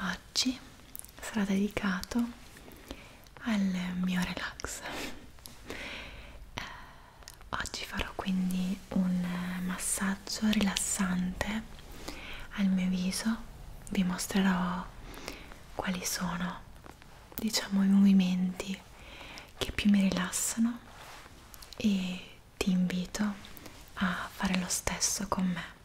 oggi sarà dedicato al mio relax eh, oggi farò quindi un massaggio rilassante al mio viso vi mostrerò quali sono diciamo i movimenti che più mi rilassano e ti invito a fare lo stesso con me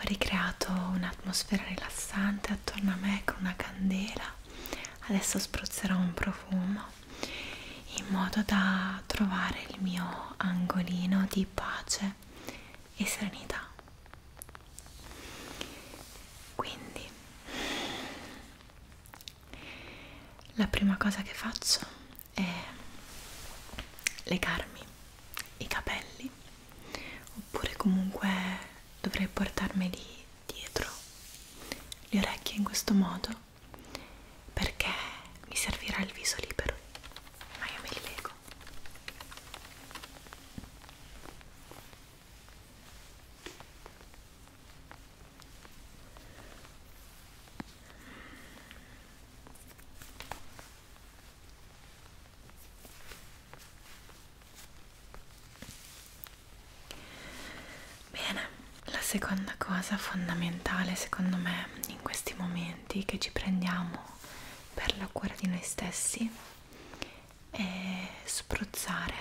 ho ricreato un'atmosfera rilassante attorno a me con una candela. Adesso spruzzerò un profumo in modo da trovare il mio angolino di pace e serenità. Quindi la prima cosa che faccio è legarmi i capelli oppure comunque dovrei portarmeli dietro le orecchie in questo modo perché mi servirà il viso libero ma io me li leggo Bene, la seconda cosa fondamentale secondo me in questi momenti che ci prendiamo per la cura di noi stessi è spruzzare,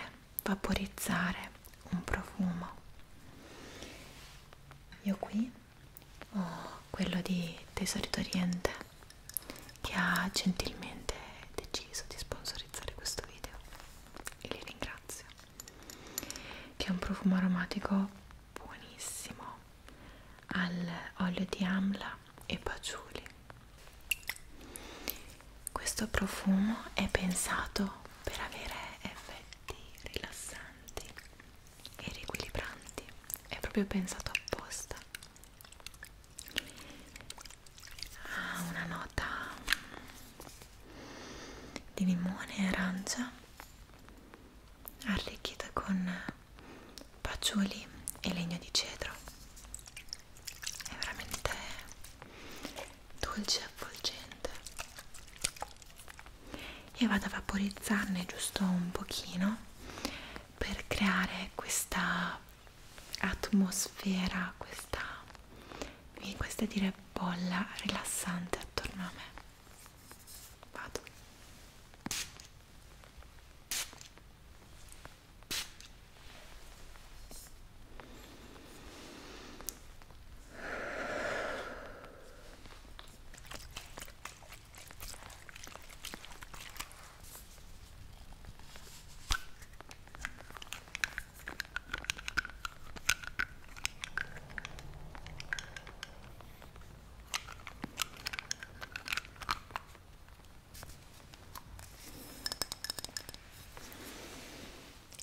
vaporizzare un profumo. Io qui o oh, quello di Tesori d'Oriente che ha gentilmente deciso di sponsorizzare questo video e li ringrazio che è un profumo aromatico buonissimo all'olio di amla e patchouli questo profumo è pensato per avere effetti rilassanti e riequilibranti è proprio pensato apposta ha ah, una nota di limone e arancia arricchita con paciuli e legno di cedro è veramente dolce e avvolgente e vado a vaporizzarne giusto un pochino per creare questa atmosfera, questa, questa dire bolla rilassante attorno a me. Vado.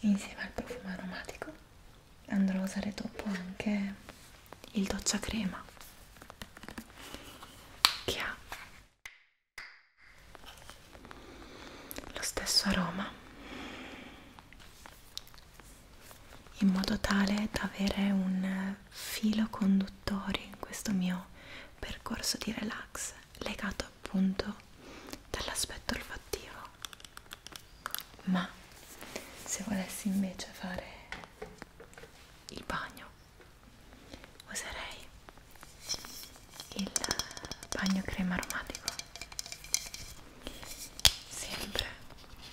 Insieme al profumo aromatico andrò a usare dopo anche il docciacrema che ha lo stesso aroma in modo tale da avere un filo conduttore in questo mio percorso di relax legato appunto dall'aspetto olfattivo ma se volessi invece fare il bagno userei il bagno crema aromatico sempre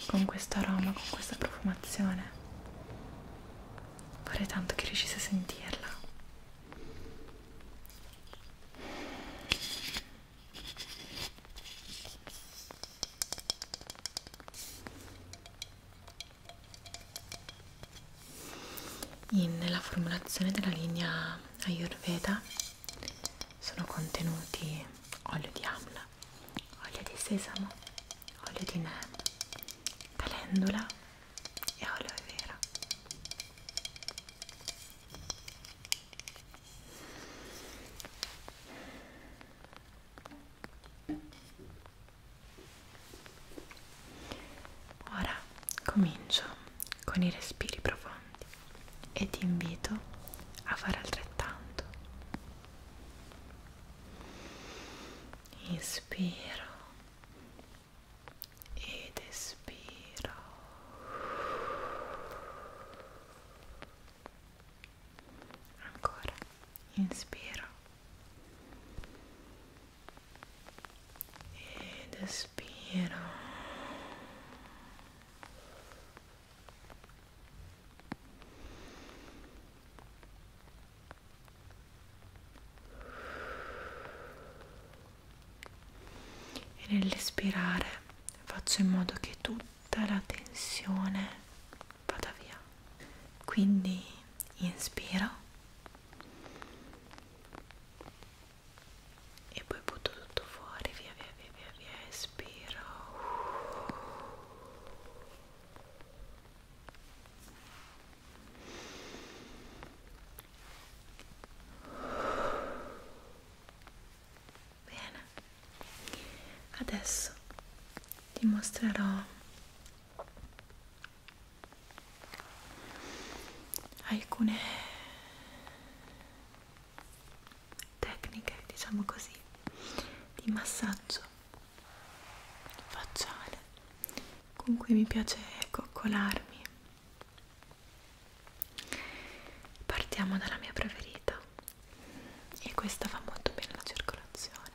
con questo aroma con questa profumazione vorrei tanto che riuscisse a sentirla in, nella formulazione della linea Ayurveda sono contenuti olio di amla, olio di sesamo, olio di neem, calendula e olio vera. Ora comincio con i respiri profondi e ti invito a fare altrettanto. Inspiro ed espiro ancora inspiro ed espiro e nell'espirare faccio in modo che tutta la tensione vada via quindi inspiro e poi butto tutto fuori via via via via via espiro Bene, adesso ti mostrerò alcune tecniche diciamo così di massaggio facciale con cui mi piace coccolarmi partiamo dalla mia preferita e questa fa molto bene la circolazione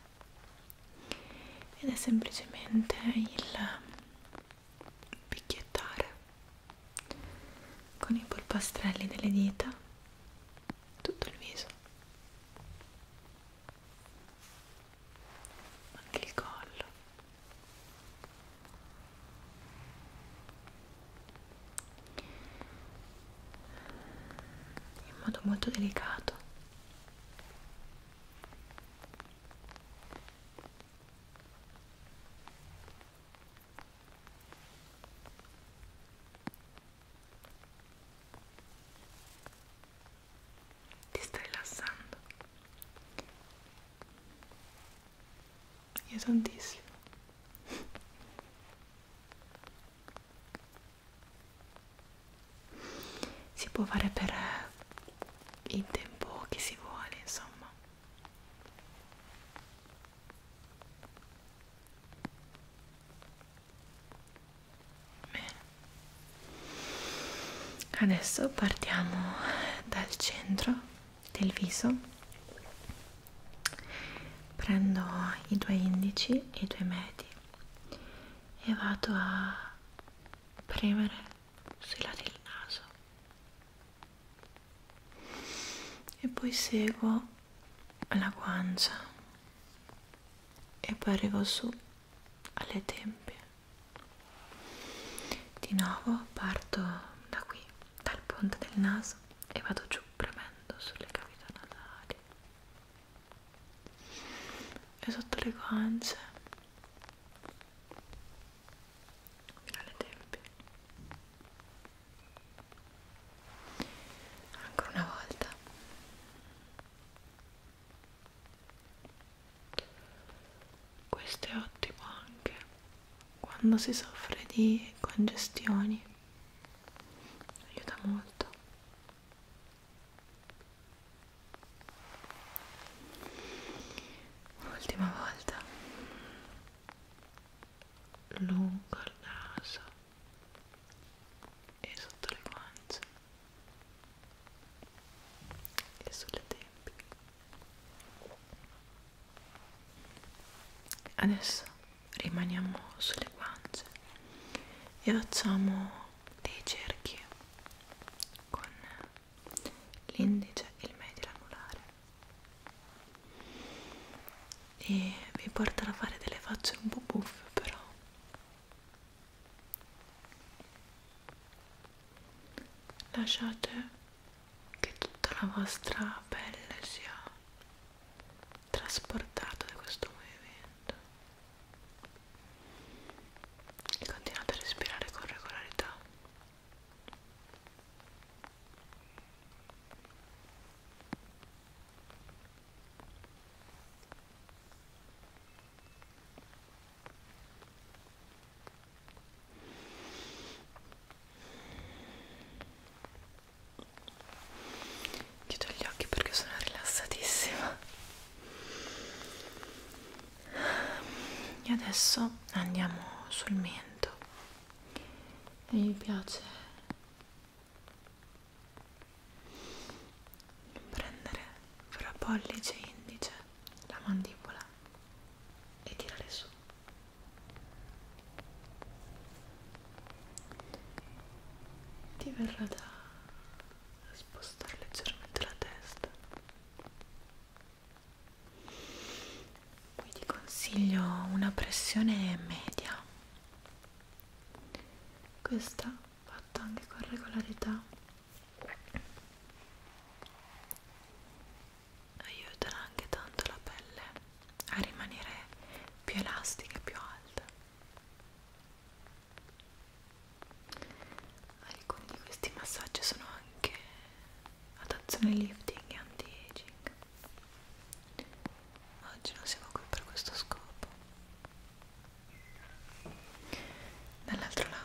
ed è semplicemente il picchiettare con i polpastrelli delle dita tutto il viso anche il collo in modo molto delicato ti stai rilassando io tantissimo si può fare per il tempo che si vuole insomma bene adesso partiamo dal centro del viso prendo i due indici e i due medi e vado a premere sui lati del naso e poi seguo la guancia e poi arrivo su alle tempie di nuovo parto da qui dal ponte del naso e vado giù premendo sulle cavità nasali e sotto le guance fino alle tempie ancora una volta questo è ottimo anche quando si soffre di congestioni aiuta molto Un'ultima volta lungo il naso e sotto le guance e sulle tempie. Adesso rimaniamo sulle guance e facciamo dei cerchi con l'indice e il medio anulare e vi porterà a fare delle facce un po' buffe però lasciate che tutta la vostra pelle sia trasportato da questo movimento continuate a respirare con regolarità chiudo gli occhi perché sono rilassatissima e adesso andiamo sul mento e mi piace prendere fra pollice e indice la mandibola e tirare su ti verrà da spostare leggermente la testa poi ti consiglio una pressione media questa fatta anche con regolarità aiuterà anche tanto la pelle a rimanere più elastica e più alta Alcuni di questi massaggi sono anche ad azione lifting e anti-aging. Oggi non siamo qui per questo scopo. Dall'altro lato.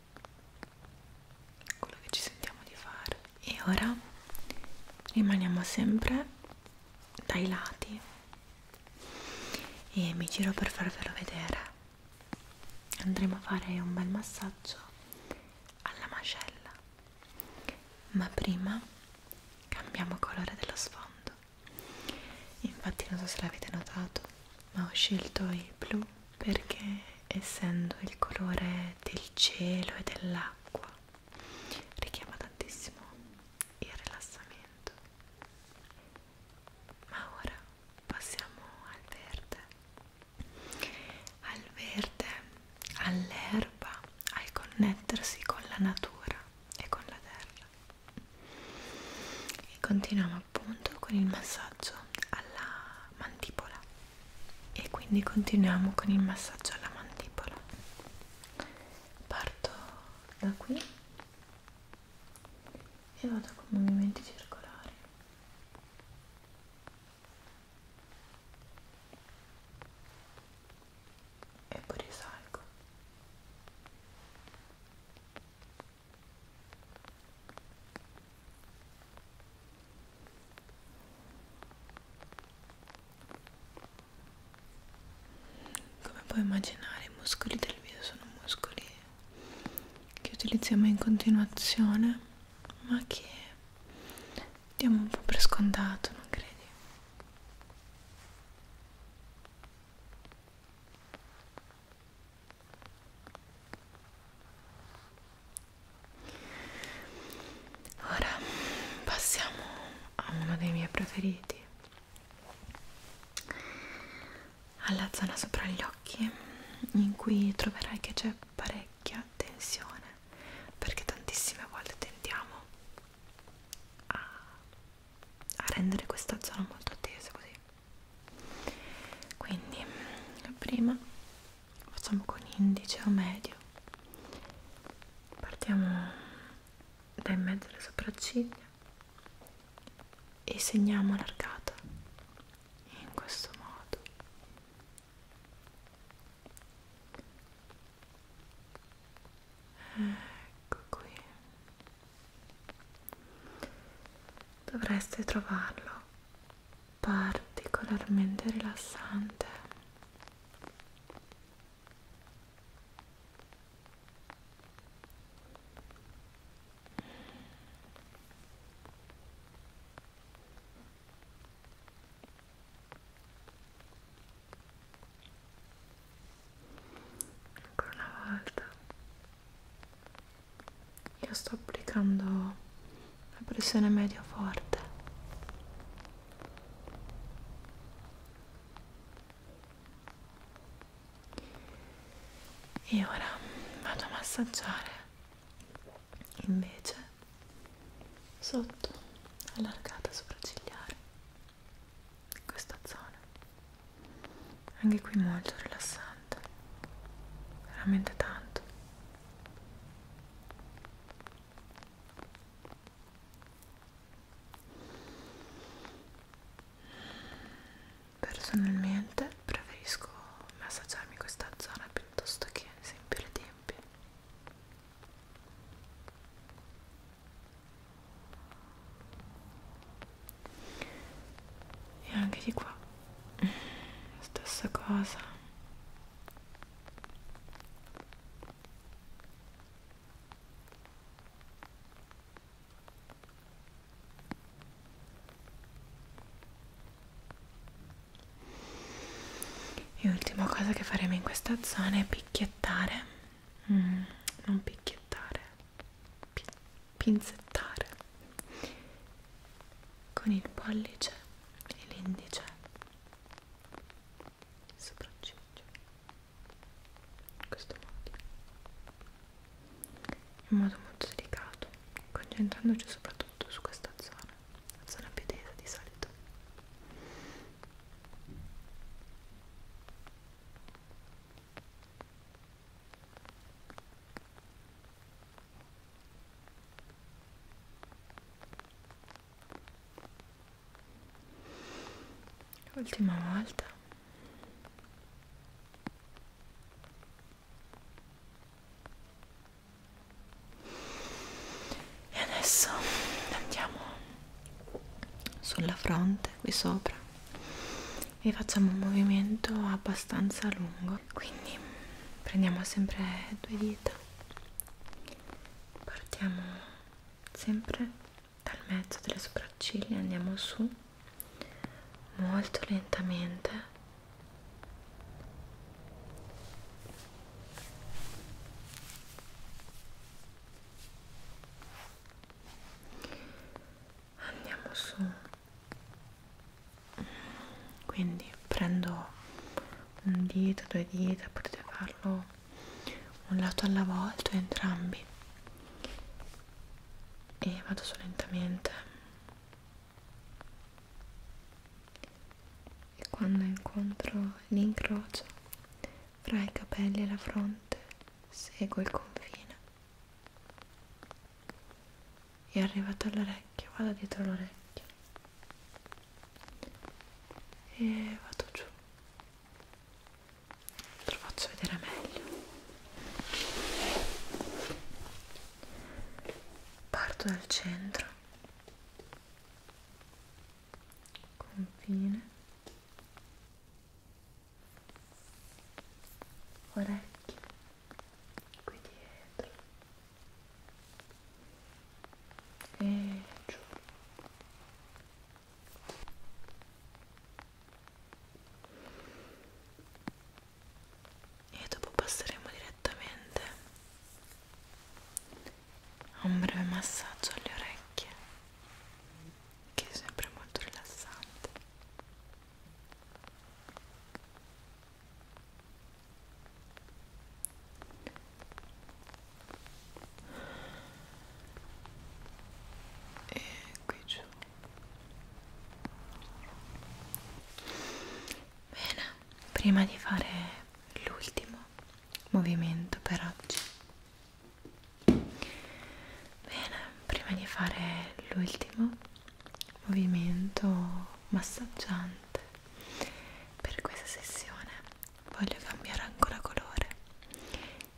quello che ci sentiamo di fare e ora rimaniamo sempre dai lati e mi giro per farvelo vedere andremo a fare un bel massaggio alla mascella ma prima cambiamo colore dello sfondo infatti non so se l'avete notato ma ho scelto il blu perché essendo il colore del cielo e dell'acqua richiama tantissimo il rilassamento ma ora passiamo al verde al verde all'erba al connettersi con la natura e con la terra e continuiamo appunto con il massaggio alla mandibola e quindi continuiamo con il massaggio alla mandibola parto da qui e vado con movimenti circolari e poi risalgo come puoi immaginare i muscoli del video sono muscoli che utilizziamo in continuazione ma che diamo un po' per scontato, non credi? Ora passiamo a uno dei miei preferiti, alla zona sopra gli occhi, in cui troverai che c'è parecchia tensione, perché tantissime volte tentiamo a, a rendere questa zona molto attesa così. Quindi prima facciamo con indice o medio partiamo da in mezzo alle sopracciglia e segniamo allargata in questo modo ecco qui dovreste trovarlo particolarmente rilassante ancora una volta io sto applicando la pressione medio forte e ora vado a massaggiare invece sotto allargata sopraccigliare questa zona anche qui molto rilassante tanto veramente tanto personalmente preferisco massaggiarmi questa zona piuttosto che ad esempio le tempie e anche di qua stessa cosa e l'ultima cosa che faremo in questa zona è picchiettare mm, non picchiettare pi pinzettare con il pollice e l'indice il sopracciglio in questo modo in modo molto delicato concentrandoci soprattutto su questa zona la zona più tesa di solito Ultima volta. E adesso andiamo sulla fronte qui sopra e facciamo un movimento abbastanza lungo. Quindi prendiamo sempre due dita partiamo sempre dal mezzo delle sopracciglia andiamo su molto lentamente Andiamo su quindi prendo un dito, due dita, potete farlo un lato alla volta o entrambi e vado su lentamente e quando incontro l'incrocio fra i capelli e la fronte seguo il confine è arrivata all'orecchio, vado dietro l'orecchio e vado giù te lo faccio vedere meglio parto dal centro confine orecchio qui dietro e giù e dopo passeremo direttamente a un breve massaggio alle orecchie che è sempre molto rilassante e qui giù bene prima di fare l'ultimo movimento per oggi bene prima di fare l'ultimo movimento massaggiante per questa sessione voglio cambiare ancora colore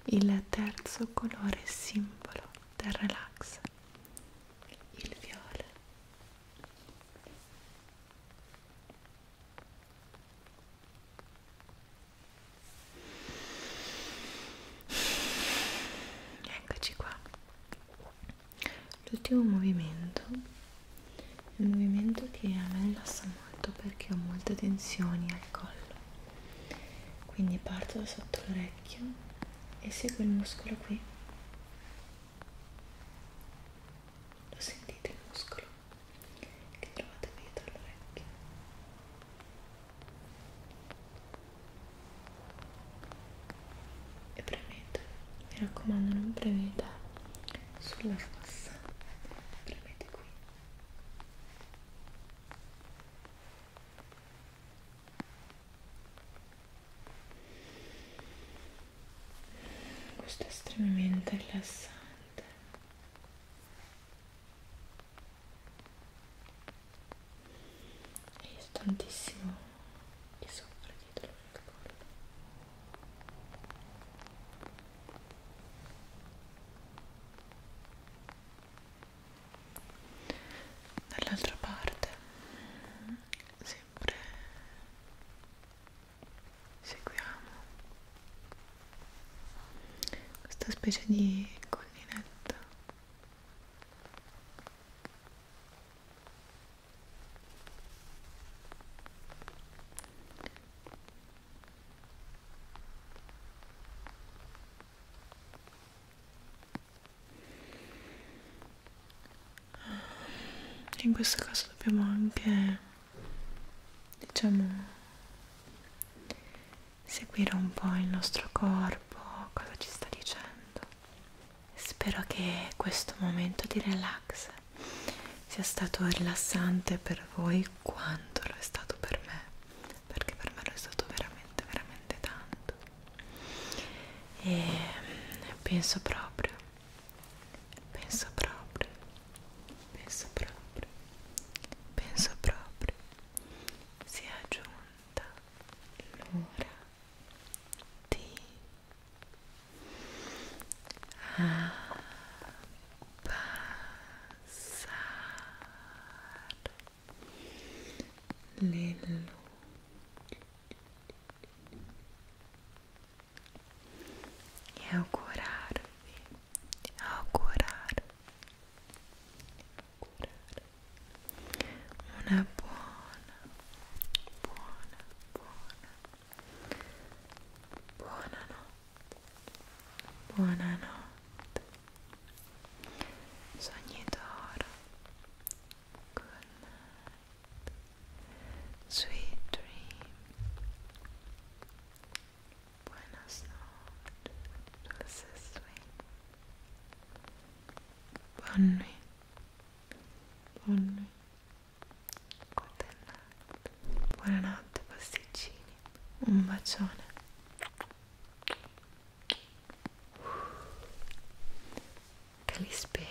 il terzo colore simbolo del relax il viola eccoci qua l'ultimo movimento è un movimento che a me rilassa molto perché ho molte tensioni al collo quindi parto da sotto l'orecchio e seguo il muscolo qui lo sentite il muscolo che trovate qui dietro l'orecchio e premete mi raccomando non premete sulla fossa premete qui questo è estremamente rilassante e io tantissimo di soffrire dietro nel collo dall'altra parte sempre seguiamo questa specie di collinetta in questo caso dobbiamo anche diciamo seguire un po' il nostro corpo cosa ci sta dicendo Spero che questo momento di relax sia stato rilassante per voi quanto lo è stato per me, perché per me lo è stato veramente, veramente tanto. E penso proprio, penso proprio, penso proprio, penso proprio sia giunta l'ora T a passar lelo e ao curar-me, ao curar una buona, buona, buona, buona notte, buonanotte, sogni d'oro, good night, sweet dream, buenas noches, dulces sueños, buon nuit. polline, cotellate, buonanotte pasticcini, un bacione che li spera